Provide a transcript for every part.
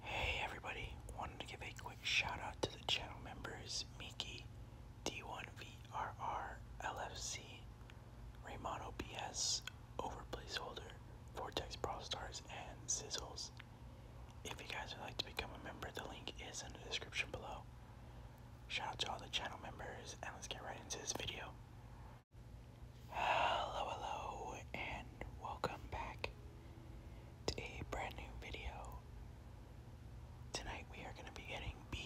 Hey everybody, wanted to give a quick shout out to the channel members Miki, D1VRR, LFC, Raymano BS, Over Placeholder, Vortex Brawl and Sizzles. If you guys would like to become a member, the link is in the description below. Shout out to all the channel members, and let's get right into this video. Hello, hello, and welcome back to a brand new video. Tonight we are going to be getting B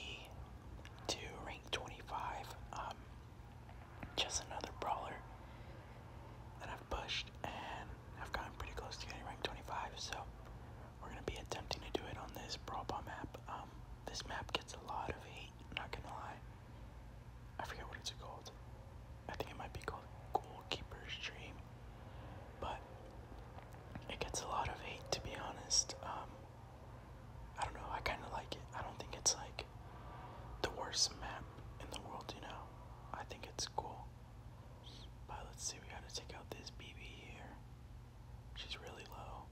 to rank 25. Um, just another brawler that I've pushed, and I've gotten pretty close to getting rank 25. So we're going to be attempting to do it on this brawl bomb map. Um, this map gets a lot of hate. Not gonna lie. I forget what it's called. I think it might be called Goalkeeper's Dream, but it gets a lot of hate to be honest. Um, I don't know, I kind of like it. I don't think it's like the worst map in the world, you know? I think it's cool. But let's see, we gotta take out this BB here. She's really low.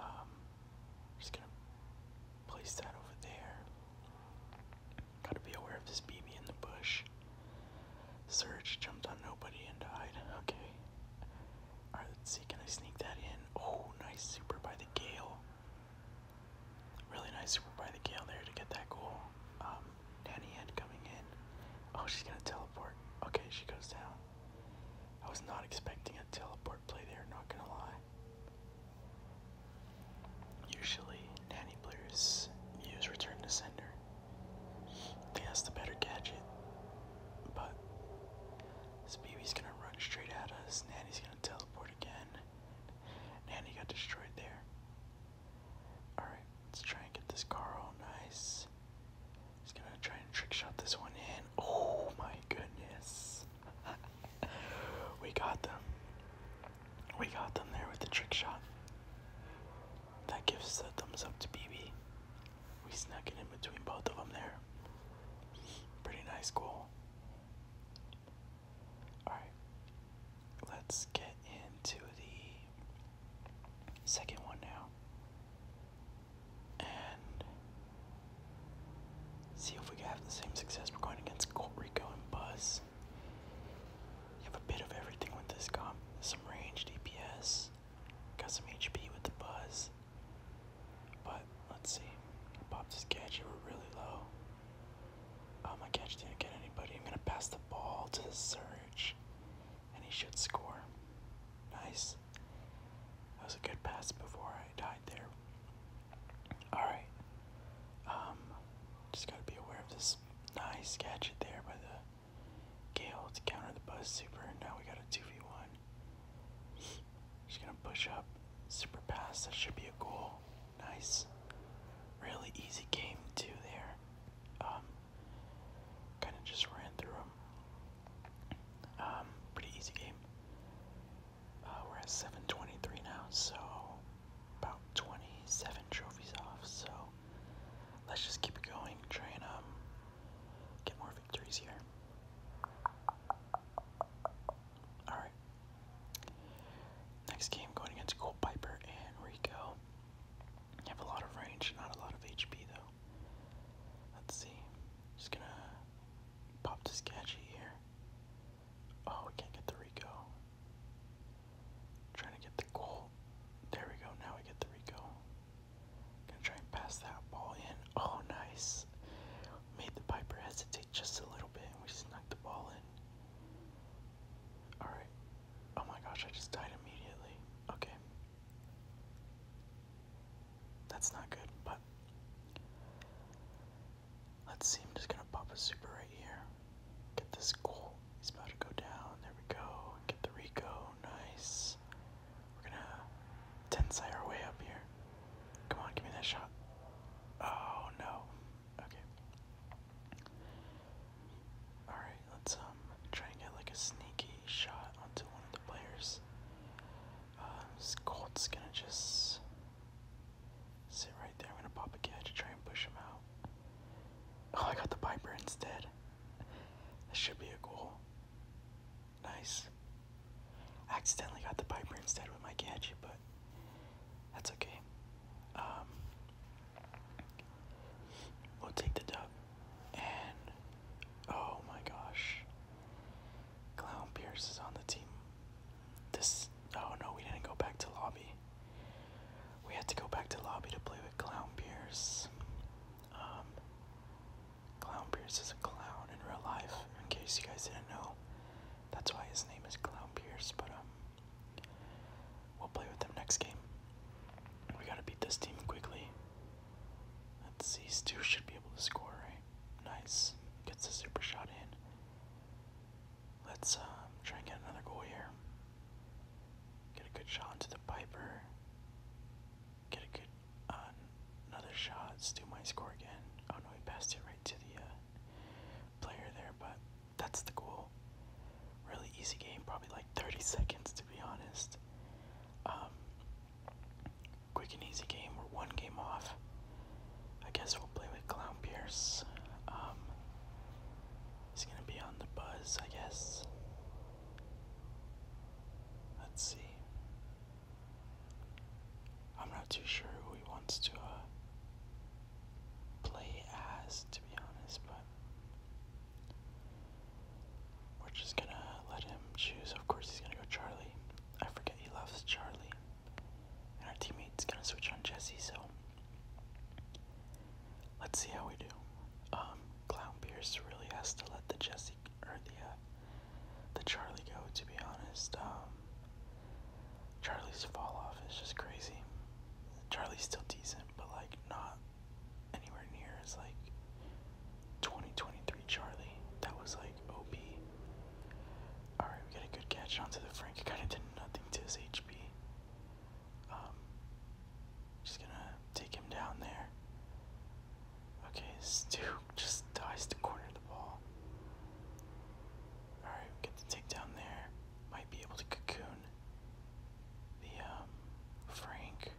Um, just gonna place that over there. Gotta be aware of this baby in the bush. Surge jumped on nobody and died. Okay. Alright, let's see. Can I sneak that in? Oh, nice super by the Gale. Really nice super by the Gale there to get that goal. Um, Nanny Head coming in. Oh, she's gonna teleport. Okay, she goes down. I was not expecting a teleport play there, not gonna lie. Usually, nanny players use return to sender. I think the better gadget. But this baby's gonna run straight at us. Nanny's gonna teleport again. Nanny got destroyed there. Alright, let's try and get this car all nice. He's gonna try and trick shot this one in. Oh my goodness. we got them. We got them there with the trick shot. That gives a thumbs up to BB. We snuck it in between both of them there. Pretty nice goal. Alright, let's get into the second one now. And See if we can have the same success. We're going against Colt Rico and Buzz. You have a bit of everything with this comp. Some range DPS. Got some HP with the Buzz. But let's see. popped his catch. You were really low. Oh my catch didn't get anybody. I'm gonna pass the ball to the Surge, and he should score. Nice. That was a good pass before died there. Alright. Um, just gotta be aware of this nice gadget there by the Gale to counter the Buzz Super, and now we got a 2v1. Just gonna push up, super pass, that should be a goal. Nice. Really easy game, too, there. Um, kind of just ran through them. Um, pretty easy game. Uh, we're at 723 now, so about 27 trophies off. So let's just keep it going, try and um, get more victories here. Alright. Next game going against Gold Piper and Rico. Have a lot of range, not a lot of HP though. Let's see. Just gonna pop this gadget here. Oh, can't get the Rico. trying to get the goal. There we go. Now we get the Rico. gonna try and pass that ball in. Oh, nice. Made the Piper hesitate just a little bit, we snuck the ball in. All right. Oh my gosh, I just died immediately. Okay. That's not good, but Let's see, I'm just gonna pop a super right here. Get this goal. He's about to go down. There we go. Get the Rico. Nice. We're gonna tensai our way up here. Come on, give me that shot. Oh no. Okay. Alright, let's um try and get like a sneaky shot onto one of the players. Uh, this gonna just Sit right there. I'm gonna pop a kid to try and push him out. Oh, I got the Piper instead. This should be a goal. Nice. accidentally got the Piper instead with my Gadget, but that's okay. Um, we'll take the dub. And, oh my gosh. Clown Pierce is on the team. This. Oh no, we didn't go back to lobby. We had to go back to lobby to play with Clown Pierce. Um, clown Pierce is a clown in real life, in case you guys didn't know. That's why his name is Clown Pierce, but um, we'll play with them next game. We gotta beat this team quickly. Let's see, Stu should be able to score, right? Nice. Gets a super shot in. Let's uh, try and get another goal here. Get a good shot into the Piper. Get a good uh, another shot. Do my score again. Oh no, he passed it right to the uh, player there, but that's the goal. Really easy game, probably like 30 seconds to be honest. Um, quick and easy game. we one game off. I guess we'll play with Clown Pierce. Um, he's gonna be on the buzz, I guess. Let's see. I'm not too sure who he wants to uh, play as, to be honest, but we're just gonna let him choose. Of course, he's gonna go Charlie. I forget he loves Charlie. And our teammate's gonna switch on Jesse, so let's see how we do. Um, Clown Pierce really has to let the Jesse or the uh, the Charlie go. To be honest, um, Charlie's fall off is just crazy. Charlie's still decent, but like not anywhere near as like 2023 Charlie. That was like. OP. Alright, we got a good catch onto the Frank. kind of did nothing to his HP. Um, just gonna take him down there. Okay, Stu just dies to corner the ball. Alright, we get the takedown there. Might be able to cocoon the um, Frank.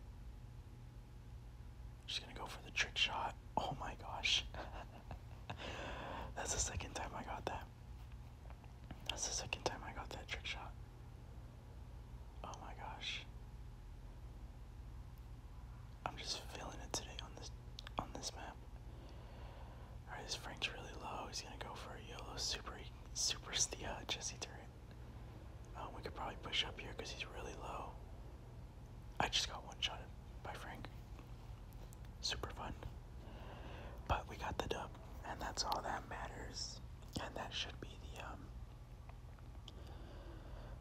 Just gonna go for the trick shot. Oh my gosh. That's the second time I got that. That's the second time I got that trick shot. Oh my gosh. I'm just feeling it today on this on this map. Alright, this Frank's really low. He's gonna go for a yellow super super Stia Jesse turret. Um, we could probably push up here because he's really low. I just got one shot by Frank. Super fun. But we got the dub, and that's all that matters. And that should be the um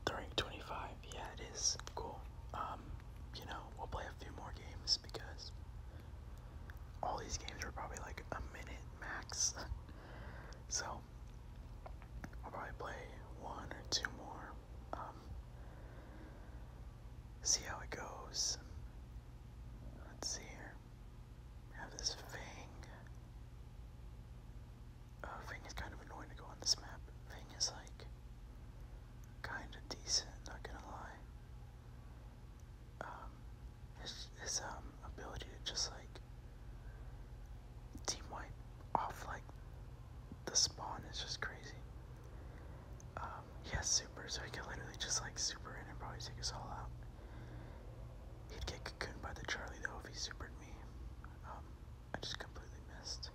the 25. Yeah, it is cool. Um, you know, we'll play a few more games because all these games are probably like a minute max. so I'll probably play one or two more. Um, See how it goes. Let's see here. have this Fang. Uh, Fang is kind of annoying to go on this map. Fang is like kinda decent, not gonna lie. Um his his um ability to just like team wipe off like the spawn is just crazy. Um, he super, so he could literally just like super in and probably take us all out. He'd get cocooned by the Charlie though if he supered me. Um, I just completely missed.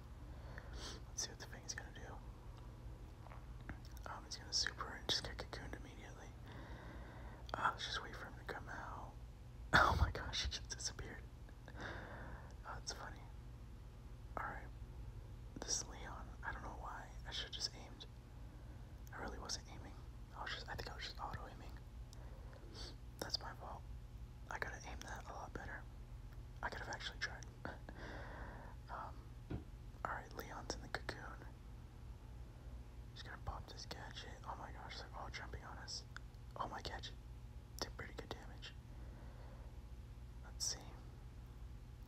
Let's see what the thing is gonna do. Um, it's gonna super and just get cocooned immediately. Uh, let's just wait for him to come out. Oh my gosh, he just disappeared oh, it's funny. Alright. This Leon, I don't know why. I should have just aimed. I really wasn't aiming. I was just I think I was just auto aiming. That's my fault. I gotta aim that a lot better. I could have actually tried. um alright, Leon's in the cocoon. Just gonna pop this gadget. Oh my gosh, they're all jumping on us. Oh my gadget. Did pretty good damage. Let's see.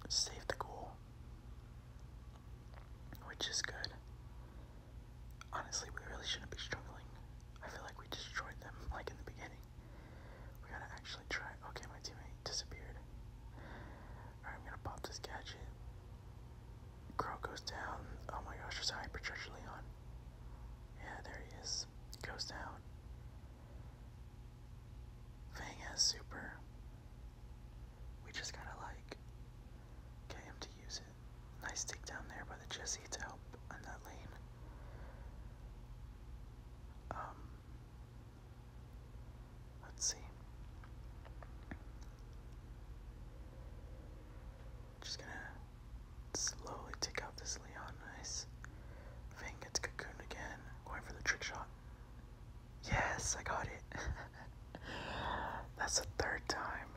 Save the goal. Which is good. Honestly, we really shouldn't be struggling. I feel like we destroyed them, like in the beginning. We gotta actually try. Okay, my teammate disappeared. I'm gonna pop this gadget. Crow goes down. Oh my gosh, there's a hyper Leon. Yeah, there he is. Goes down. Fang is super. We just gotta like get him to use it. Nice dig down there by the Jesse to help on that lane. Um, let's see. Just gonna slowly take out this Leon. Nice. Vayne gets cocooned again. Going for the trick shot. Yes, I got it. That's the third time.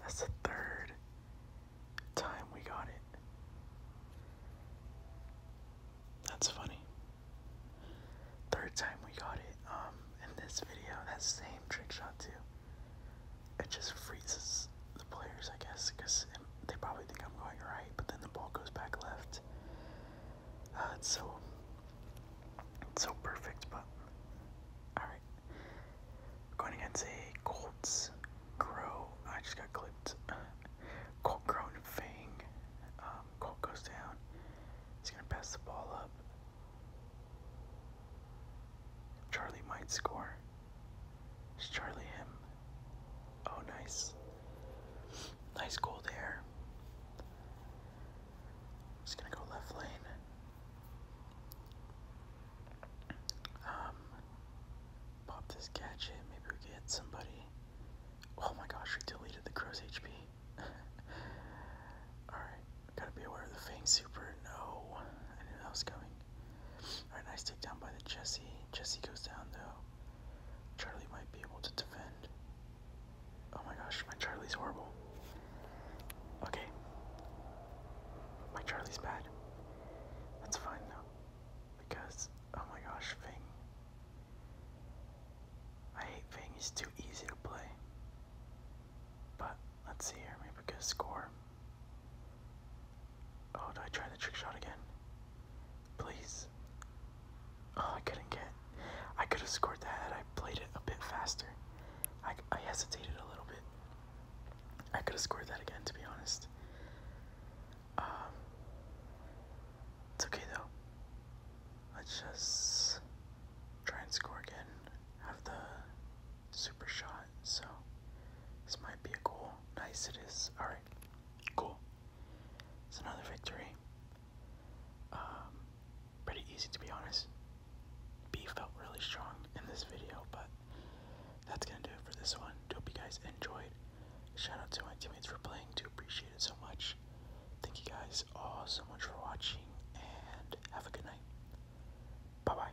That's the third time we got it. That's funny. Third time we got it um, in this video. That same trick shot, too. It just freezes the players, I guess, because it they probably think I'm going right, but then the ball goes back left. Uh, so, so perfect. But all right, going against a Colts Crow. I just got clipped. Colt Crow and Um, Colt goes down. He's gonna pass the ball up. Charlie might score. It's Charlie him? Oh, nice. Nice gold hair. Just gonna go left lane. Um, pop this gadget. Maybe we can somebody. Oh my gosh, we deleted the crow's HP. Alright, gotta be aware of the Fang Super. No, I knew coming. Alright, nice take down by the Jesse. Jesse goes down though. Charlie might be able to defend. Oh my gosh, my Charlie's horrible. Okay. My Charlie's bad. That's fine though. Because, oh my gosh, Fang. I hate Fang, he's too easy to play. But, let's see here, maybe we get a score. Oh, do I try the trick shot again? Please. Oh, I couldn't get. I could have scored that had I played it a bit faster. I, I hesitated a little bit. I could have scored that again, to be honest. Um, it's okay though. Let's just try and score again. Have the super shot. So this might be a goal. Nice, it is. All right. Cool. It's another victory. Um, pretty easy to be honest. Beef felt really strong in this video, but that's gonna do it for this one. Hope you guys enjoyed. Shout out to my teammates for playing, do appreciate it so much. Thank you guys all so much for watching, and have a good night. Bye bye.